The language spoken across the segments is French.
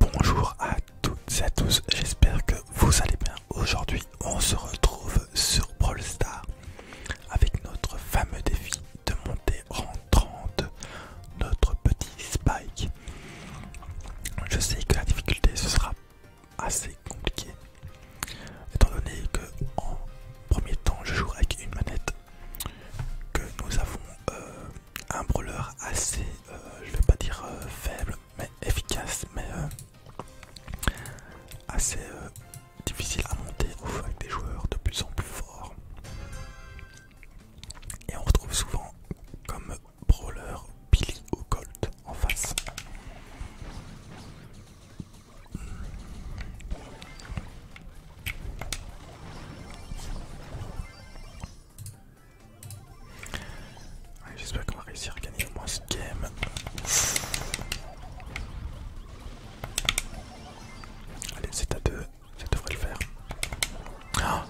Bonjour à toutes et à tous, j'espère que vous allez bien. Aujourd'hui, on se retrouve sur Brawl Star avec notre fameux défi de monter en 30 notre petit Spike. Je sais que la difficulté ce sera assez compliqué étant donné que en premier temps je joue avec une manette que nous avons euh, un brawler assez je euh, je vais pas dire euh, faible, mais efficace, mais euh, assez difficile à monter avec des joueurs de plus en plus forts. Et on retrouve souvent comme brawler Billy ou Colt en face. J'espère qu'on va réussir à gagner au moins ce game. Allez, c'est à deux, ça devrait le faire. Ah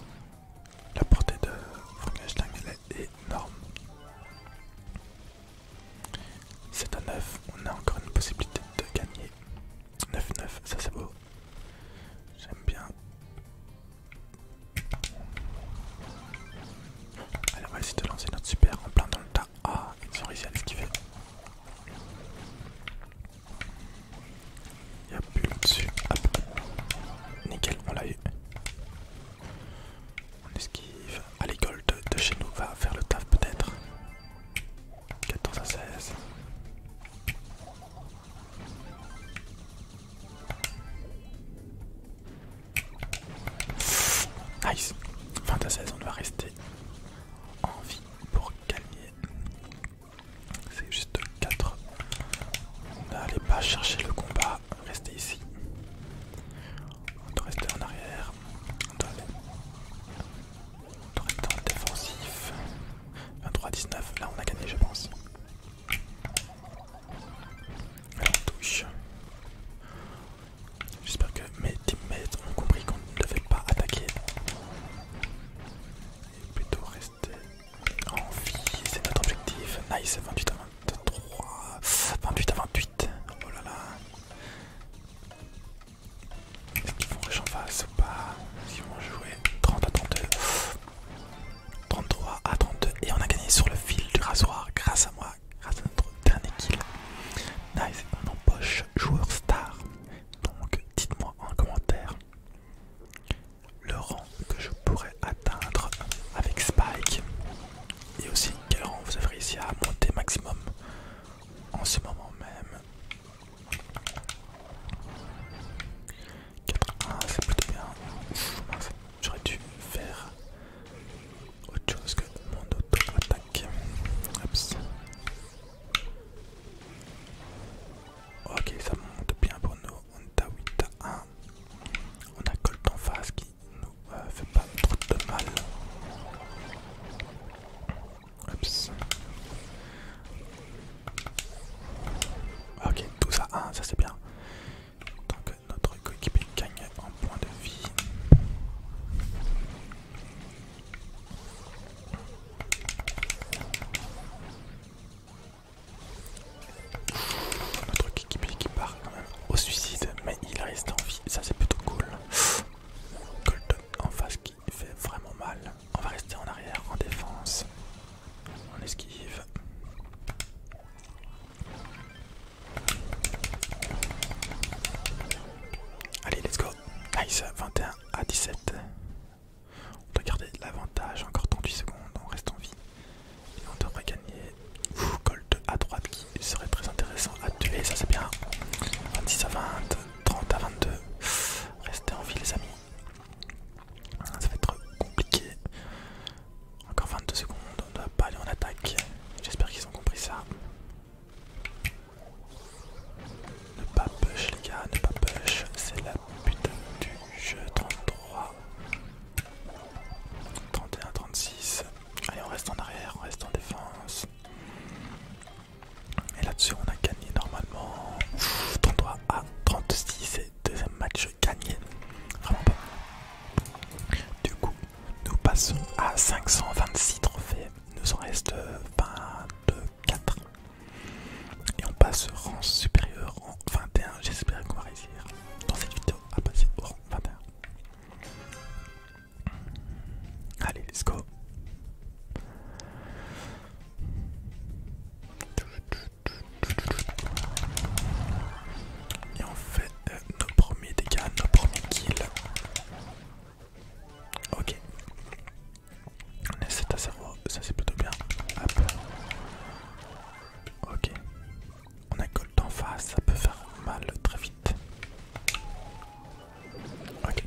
La portée de Frankenstein, elle est énorme. C'est à 9, on a encore une possibilité de gagner. 9-9, ça c'est beau. J'aime bien. Allez, on va essayer de lancer notre super en plein dans le tas. Ah, ils ont réussi à l'esquiver. Il y a plus dessus. Hop. Nickel, on l'a eu. On esquive. Allez, ah, Gold de chez nous va faire le taf peut-être. 14 à 16. Nice 20 à 16, on va rester en vie pour gagner. C'est juste 4. On n'allait pas chercher le combat, restez ici. On doit rester en arrière. On doit, aller. rester en défensif. 23 à 19, là on a gagné je pense. Alors, touche. J'espère que mes teammates ont compris qu'on ne devait pas attaquer. Et plutôt rester en vie, c'est notre objectif. Nice, 28 à 23, 28 à 28. Oh là là. Est-ce qu'ils vont rush en face ou pas Est-ce qu'ils vont jouer 30 à 32 33 à 32 et on a gagné sur le fil du rasoir grâce à moi, grâce à notre dernier kill. Nice, on empoche joueur star. Donc dites-moi en commentaire le rang que je pourrais atteindre avec Spike et aussi quel rang vous avez ici à monter maximum en ce moment même 4-1, ah, c'est plutôt bien. j'aurais dû faire autre chose que mon auto-attaque. Ok, ça monte bien pour nous. On a 8 1. On a Colt en face qui nous euh, fait pas trop de mal. Ah, ok, tout ça, 1, ah, ça c'est bien. Donc notre coéquipier gagne en points de vie. Notre équipier qui part quand même au suicide, mais il reste en vie, ça c'est plutôt cool. Colton en face qui il fait vraiment mal. On va rester en arrière, en défense. On esquive. Allez, let's go. Nice, 21 à 17. On doit garder l'avantage, encore 38 secondes, on reste en vie. Et on devrait gagner. Gold à droite qui serait très intéressant à tuer, ça c'est bien. 26 à 20, 30 à 22. Restez en vie les amis. Ça va être compliqué. Encore 22 secondes, on ne doit pas aller en attaque. J'espère qu'ils ont compris ça. Ne pas push les gars, ne pas push, c'est la putain du jeu 33. 31, 36. Allez on reste en arrière, on reste en défense. Et là-dessus, on a gagné normalement 33 à 36. Et deuxième match gagné. Vraiment pas mal. Du coup, nous passons à 526 trophées. Nous en reste 24. Et on passe rang supérieur en 21. J'espère qu'on va réussir dans cette vidéo à passer au rang 21. Allez, let's go. Et on fait euh, nos premiers dégâts, nos premiers kills. Ok. On essaie à ça c'est plutôt bien. Hop. Ok. On a en face, ça peut faire mal très vite. Ok.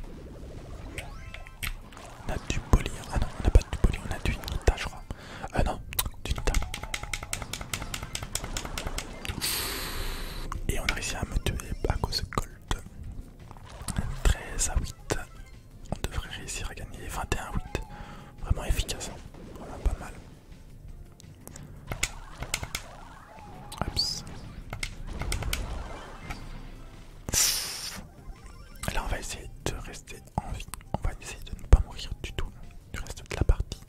On a du poly. Hein. Ah non, on n'a pas de poly, on a du nita, je crois. Ah non, du nita. Et on a réussi à me tuer à cause de Gold. 13 à 8. On devrait réussir à gagner 21 à 8. Vraiment efficace. Hein. Vraiment pas mal. Oups. Là, on va essayer de rester en vie. On va essayer de ne pas mourir du tout du reste de la partie.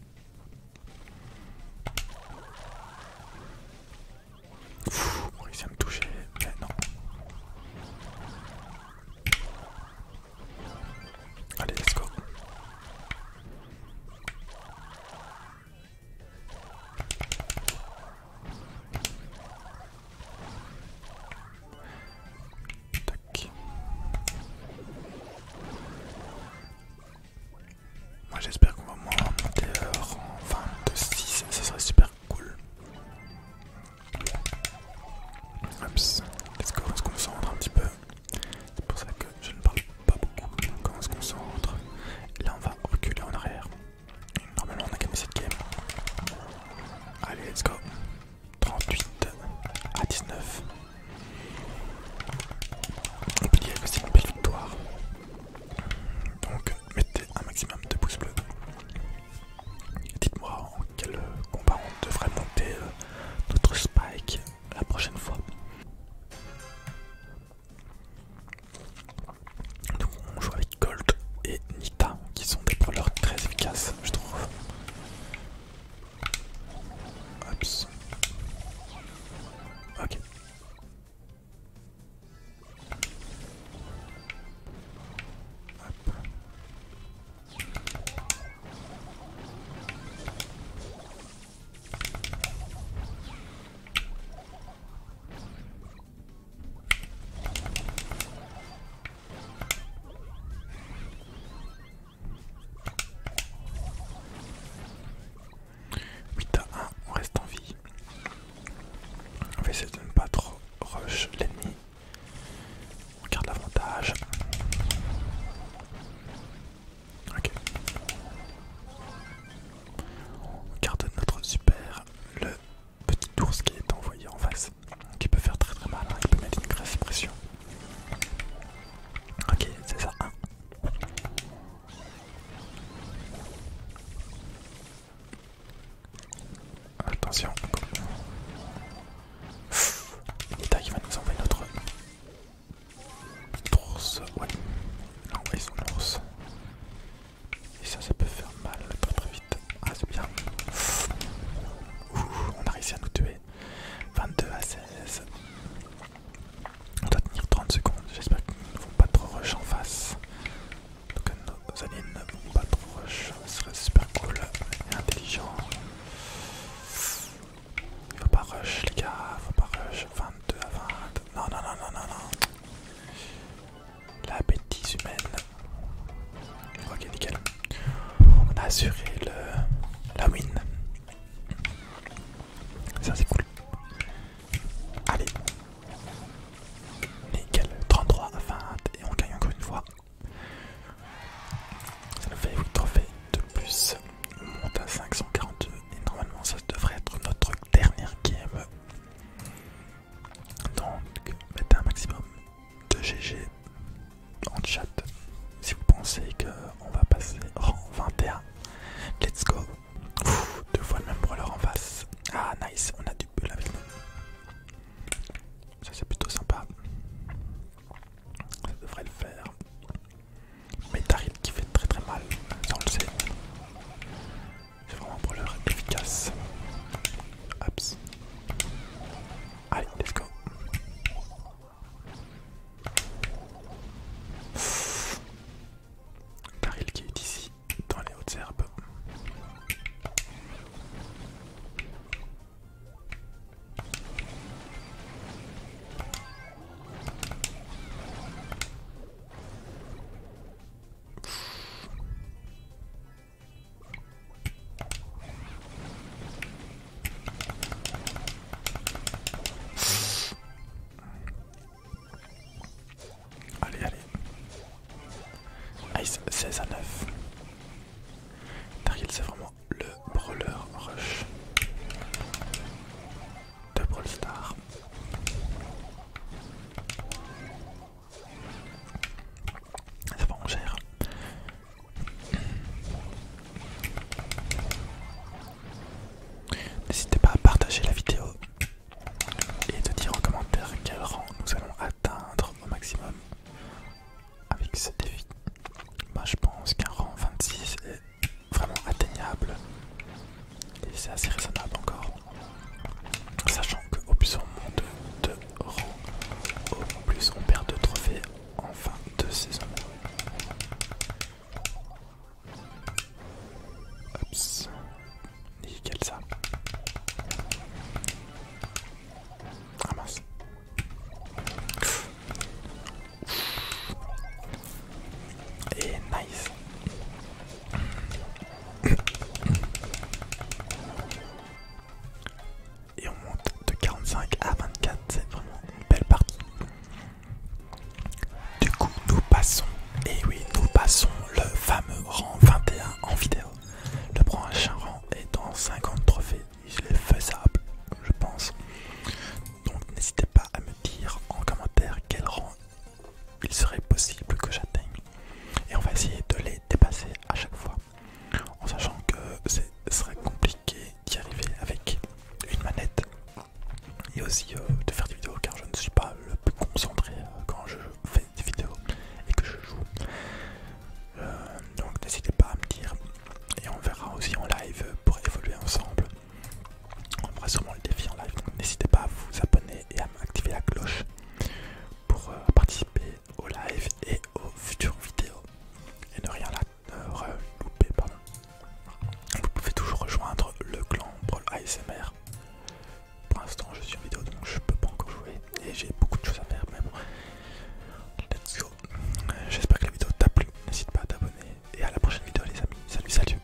on réussit à me toucher, mais non. Allez, let's go. Moi j'espère qu'on va moins monter euh, en enfin, ça serait super cool. Hop, let's go, on se concentre un petit peu. C'est pour ça que je ne parle pas beaucoup. Donc on se concentre. Là on va reculer en arrière. Normalement on a gagné cette game. Allez, let's go. 38 à 19. dire que c'est une belle victoire. Donc mettez un maximum de pouces bleus. Dites-moi en quel combat on devrait monter euh, notre spike la prochaine fois. Donc on joue avec Gold et Nita qui sont des brûleurs très efficaces je trouve. Ok. 8 à 1, on reste en vie. On va essayer de ne pas trop rush l'ennemi. On garde l'avantage. Ok. On garde notre super, le petit ours qui est envoyé en face, qui peut faire très très mal, hein, il peut mettre une grosse pression. Ok, c'est ça. 1. Attention, Nita qui va nous envoyer notre ours. Ouais, il son ours. Et ça, ça peut faire mal très très vite. Ah, c'est bien. Ouh, on a réussi à nous tuer. 22 à 16. On doit tenir 30 secondes. J'espère qu'ils ne vont pas trop rush en face. Donc, nos alliés ne vont pas trop rush. Ce serait super cool et intelligent. Il ne faut pas rush, les gars. Il ne Faut pas rush. 22 à 20. Non, non, non, non, non, non la bêtise humaine. Ok, nickel. On a assuré le, la win. Ça, c'est cool. Allez. Nickel. 33 à 20 et on gagne encore une fois. Ça nous fait 8 trophées de plus. On monte à 542 et normalement ça devrait être notre dernière game. Donc mettez un maximum de GG en chat si vous pensez qu'on va passer rang 21. Let's go. deux fois le même brawler en face. Ah nice, on a du pull avec nous. Ça c'est plutôt sympa. Ça devrait le faire. Mais Tarif qui fait très très mal, on le sait. C'est vraiment pour brawler efficace. Allez, let's go. Caril qui est ici, dans les hautes herbes. Allez, allez. Ice 16 à 9. Target, c'est vraiment le brawler rush de Brawl Stars. C'est bon, on gère. N'hésitez pas à partager la vidéo et de dire en commentaire quel rang nous allons atteindre au maximum avec ce défi. Moi je pense qu'un rang 26 est vraiment atteignable et c'est assez raisonnable encore. Sachant qu'au plus on monte de euros, au plus on perd de trophées en fin de saison. Oups, nickel ça. Ah Et nice. Et on monte de 45 à 24, c'est vraiment une belle partie. Du coup, nous passons, et oui, nous passons le fameux rang 21 en vidéo. Le prochain rang est dans 50 trophées, il est faisable, je pense. Donc n'hésitez pas à me dire en commentaire quel rang il serait possible que j'atteigne. Et on va essayer de les dépasser à chaque fois, en sachant que ce serait compliqué d'y arriver avec une manette et aussi euh, de faire des vidéos car je ne suis pas le plus concentré euh, quand je fais des vidéos et que je joue. Euh, donc n'hésitez pas à me dire et on verra aussi en live pour évoluer ensemble. On fera sûrement le défi en live, donc n'hésitez pas à vous abonner et à activer la cloche pour euh, participer au live et aux futures vidéos et ne rien la, louper. Vous pouvez toujours rejoindre le clan Brawl ASMR. Pour l'instant, je suis en vidéo donc je peux pas encore jouer et j'ai beaucoup de choses à faire. Mais bon, J'espère que la vidéo t'a plu. N'hésite pas à t'abonner et à la prochaine vidéo, les amis. Salut, salut.